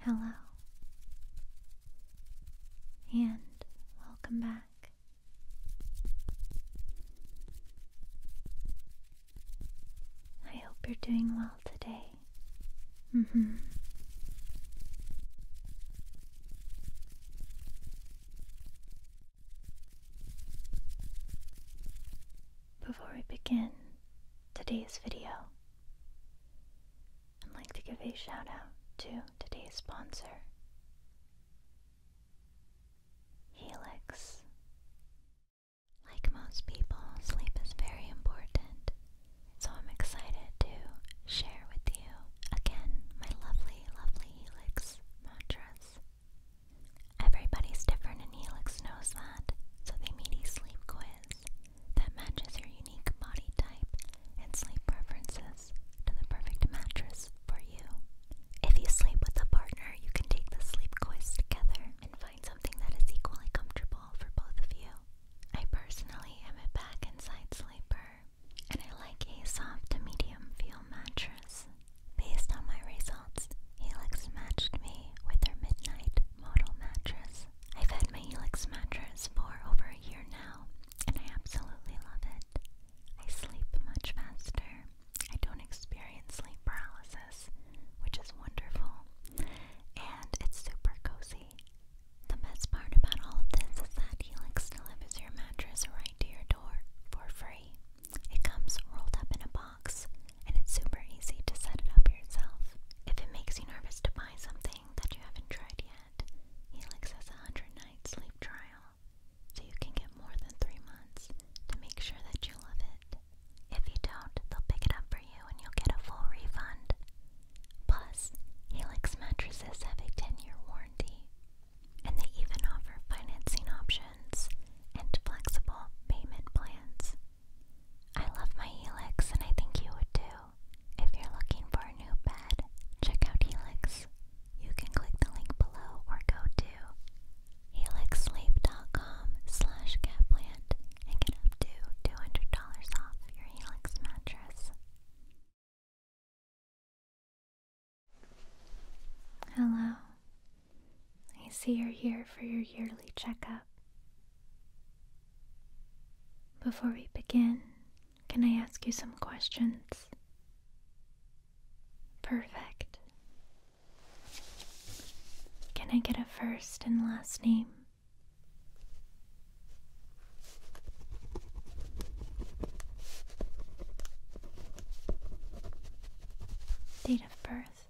Hello, and welcome back. I hope you're doing well today. Mm-hmm. Before we begin today's video, I'd like to give a shout out to today's sponsor, Helix. Like most people, sleep is very important, so I'm excited to share with you again my lovely, lovely Helix mantras. Everybody's different and Helix knows that, so they made a sleep quiz that matches your unique body type and sleep preferences to the perfect mattress for you. If you sleep with a partner, you can take the sleep quiz together and find something that is equally comfortable for both of you. I personally am a back and side sleeper, and I like a soft to medium feel mattress Based on my results, Helix matched me with their Midnight Modal mattress. I've had my Helix mattress for over a year now, and I absolutely love it. I sleep much faster. I don't experience sleep paralysis, which is wonderful, and it's super cozy. The best part about all of this is that Helix delivers your mattress right to your door for free. It comes rolled up in a box, and it's super easy to set it up yourself. If it makes you nervous to buy something that you haven't tried yet, Helix has a 100 night sleep trial, so you can get more than 3 months to make sure that you love it. If you don't, they'll pick it up for you and you'll get a full refund. Plus, Helix mattresses have a 10 year warranty, and they even offer financing options and flexible payment plans. I love my Helix and I think you would too. If you're looking for a new bed, check out Helix. You can click the link below or go to helixsleep.com slash and get up to $200 off your Helix mattress. Hello, I see you're here for your yearly checkup. Before we begin, can I ask you some questions? Perfect. Can I get a first and last name? Date birth.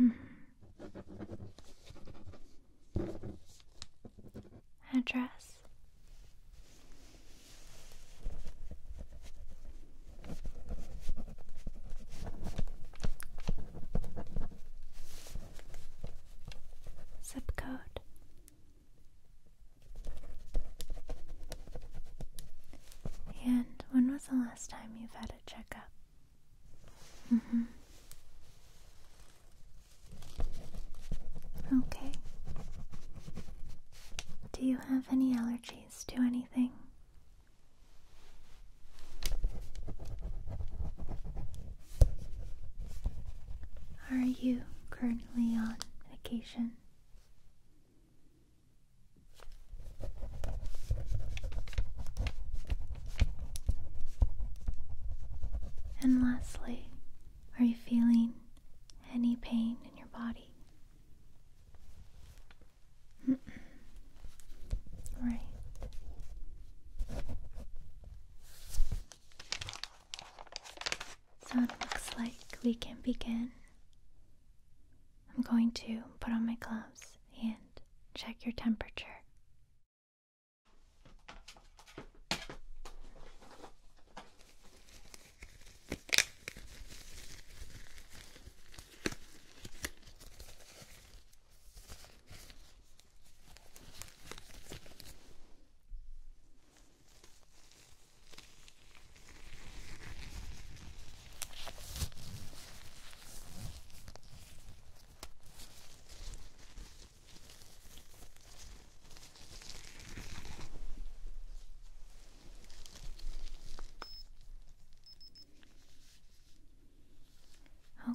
Mm-hmm. Address Zip code and when was the last time you've had a checkup? mm Okay. Do you have any allergies to anything? Are you currently on vacation? And lastly, are you feeling any pain in your body? right. So it looks like we can begin. I'm going to put on my gloves and check your temperature.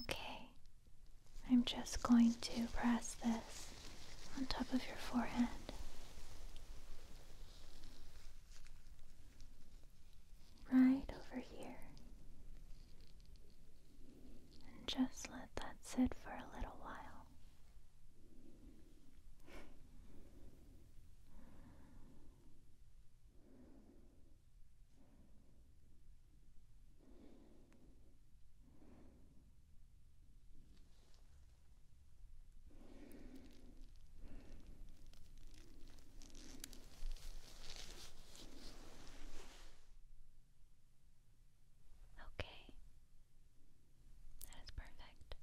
Okay, I'm just going to press this on top of your forehead. Right over here. And just let that sit for a little while. Okay, that is perfect.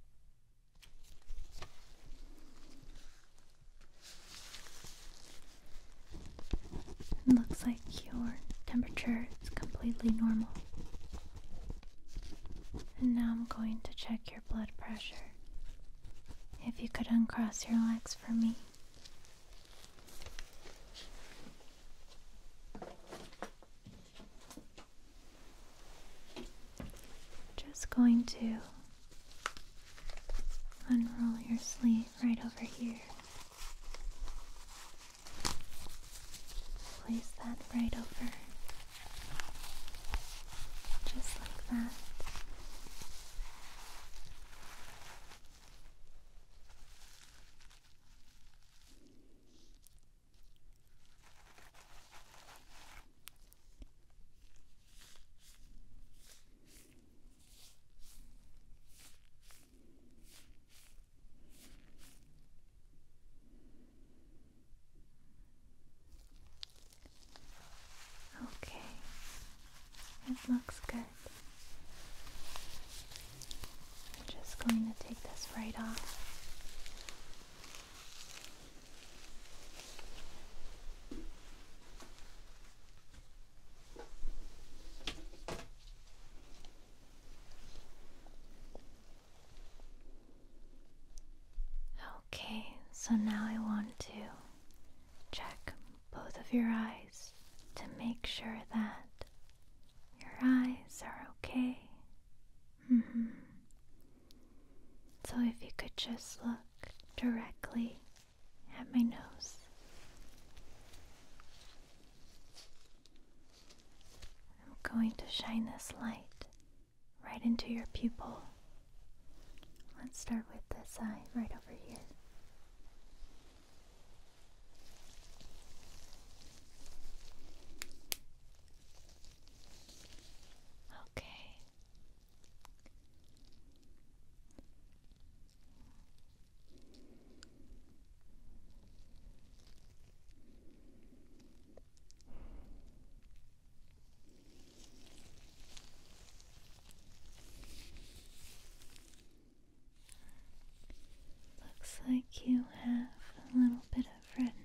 looks like your temperature is completely normal. And now I'm going to check your blood pressure. If you could uncross your legs for me. Just going to unroll your sleeve right over here. Place that right over, just like that. Okay, it looks good. I'm just going to take this right off. Okay, so now I want to check both of your eyes to make sure that your eyes are okay. Mm-hmm. So if you could just look directly at my nose. I'm going to shine this light right into your pupil. Let's start with this eye right over here. Okay. Looks like you have a little bit of redness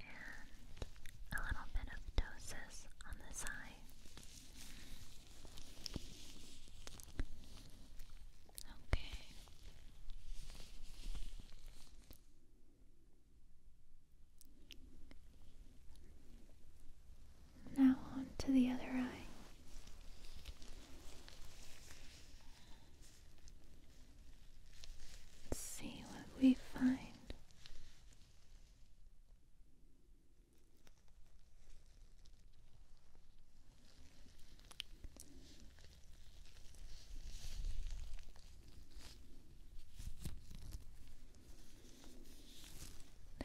and a little bit of ptosis on this eye. Okay. Now on to the other eye. Let's see what we find.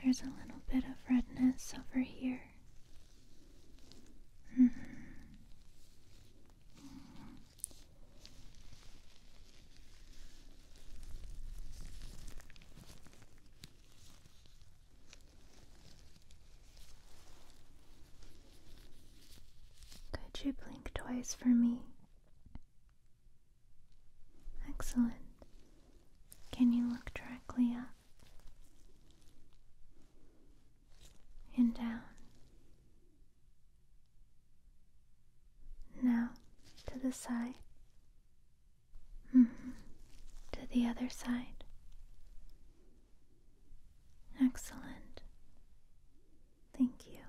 There's a little bit of redness over here. -hmm. Could you blink twice for me? Excellent. Can you look directly up and down now to the side. Mm-hmm. To the other side. Excellent. Thank you.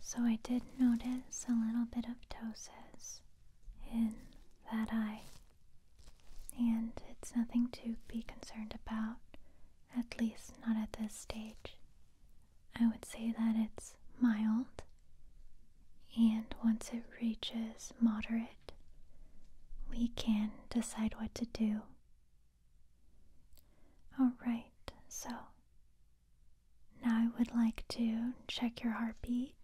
So I did notice a little bit of ptosis in that eye, and it's nothing to be concerned about, at least not at this stage. I would say that it's mild, and once it reaches moderate, we can decide what to do Alright, so now I would like to check your heartbeat.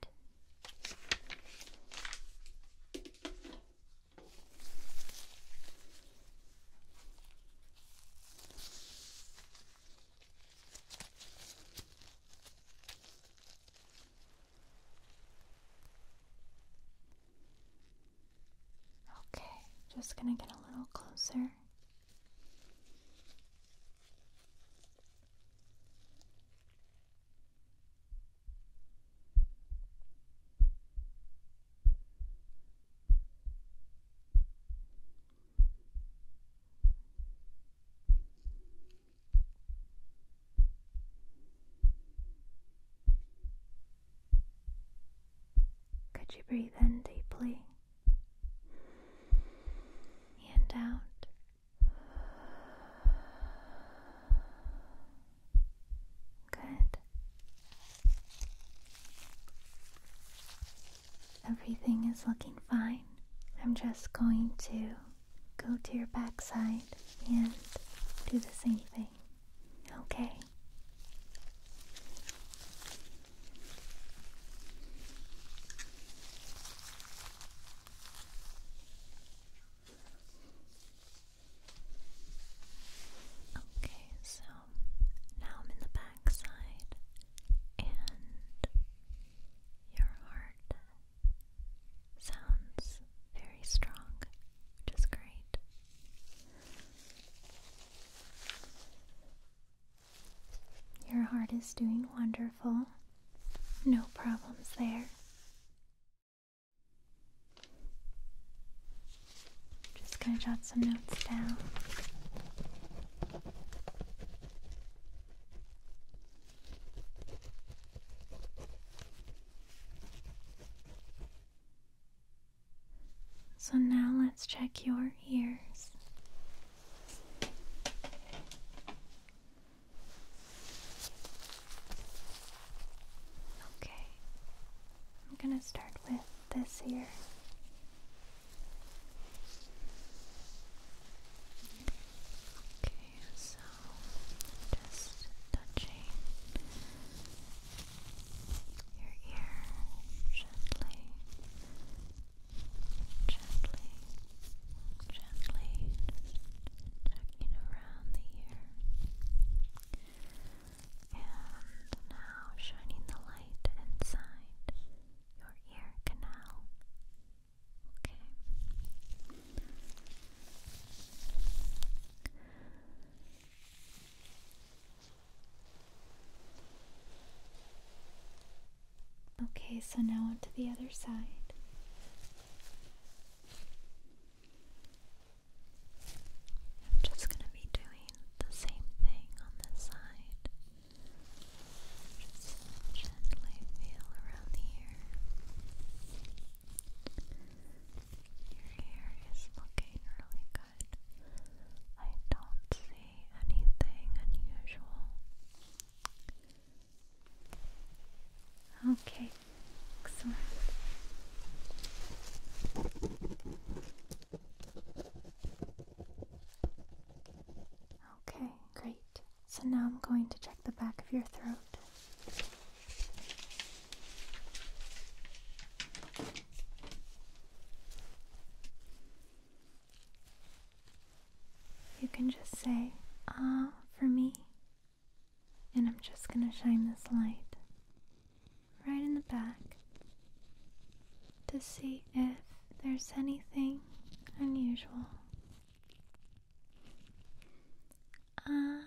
Okay, just gonna get a little closer. Could you breathe in deeply and out? Good. Everything is looking fine. I'm just going to go to your backside and do the same thing. Okay. Okay. Okay, so now I'm in the back and your heart sounds very strong, which is great. Your heart is doing wonderful. No problems there. Just going to jot some notes down. So now let's check your ears. Okay, I'm going to start with this ear. Okay, so just touching your ear gently, gently, gently, checking around the ear. And now shining the light inside your ear canal. Okay. Okay, so now onto the other side. I'm just going to be doing the same thing on this side. Just gently feel around the your hair is looking really good. I don't see anything unusual. Okay, excellent. Okay, great. So now I'm going to check the back of your throat. You can just say, ah, for me. And I'm just going to shine this light right in the back to see if there's anything unusual. Ah.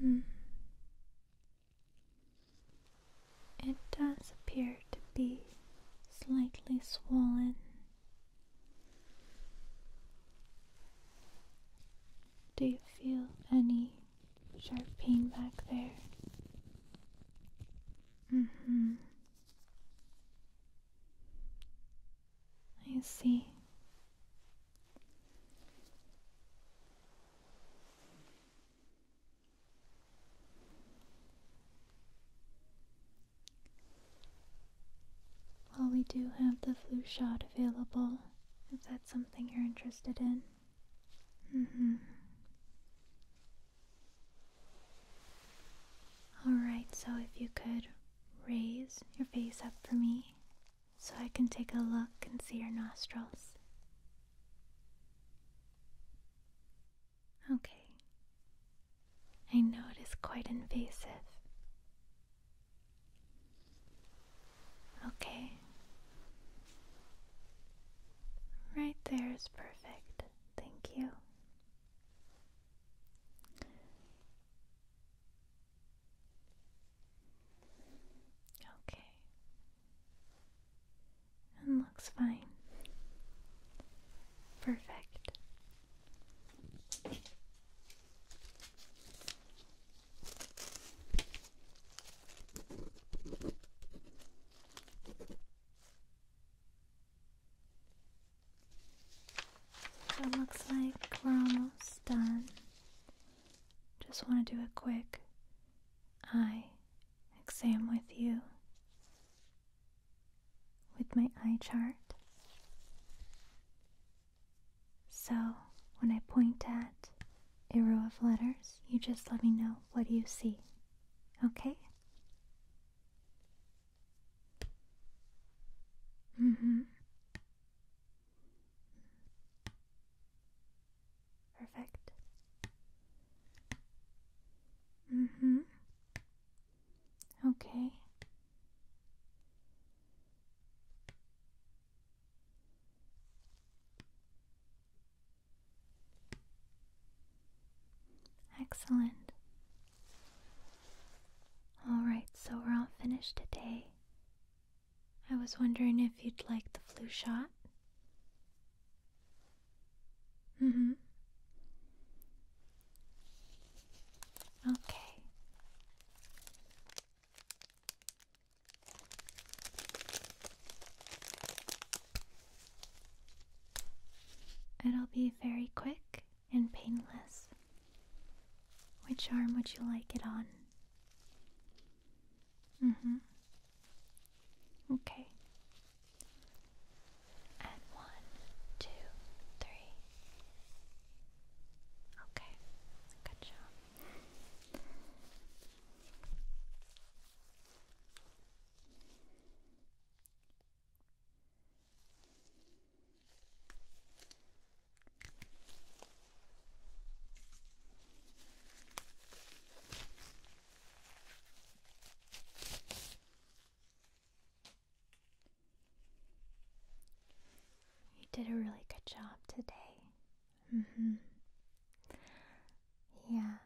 Hmm. It does appear to be slightly swollen. Do you feel any sharp pain back there. Mm hmm. I see. Well, we do have the flu shot available if that's something you're interested in. Mm -hmm. Alright, so if you could raise your face up for me so I can take a look and see your nostrils. Okay. I know it is quite invasive. Okay. Right there is perfect. Thank you. Okay. And looks fine. Perfect it looks like we're almost done. Just want to do a quick eye exam with you with my eye chart. So when I point at a row of letters. You just let me know what you see. Okay? Mm hmm. Perfect. Mm hmm. Okay. Excellent. Alright, so we're all finished today. I was wondering if you'd like the flu shot. Mm hmm. Okay. It'll be very quick and painless. Which arm would you like it on? Mm-hmm. Okay. And one, two, three. Okay. Good job. You did a really good job today. Mm-hmm. Yeah.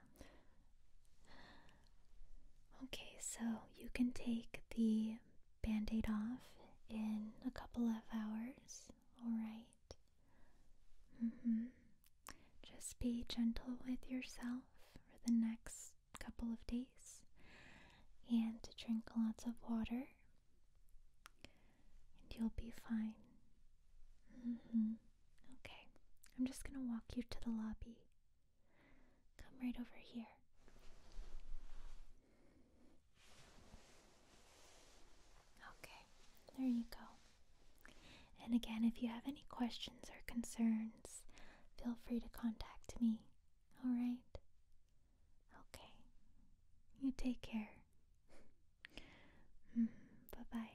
Okay, so you can take the band off in a couple of hours, alright? Mm-hmm. Just be gentle with yourself for the next couple of days and drink lots of water and you'll be fine. Mm-hmm. Okay, I'm just gonna walk you to the lobby. Come right over here. Okay, there you go. And again, if you have any questions or concerns, feel free to contact me. All right? Okay. You take care later. Mm-hmm. bye bye.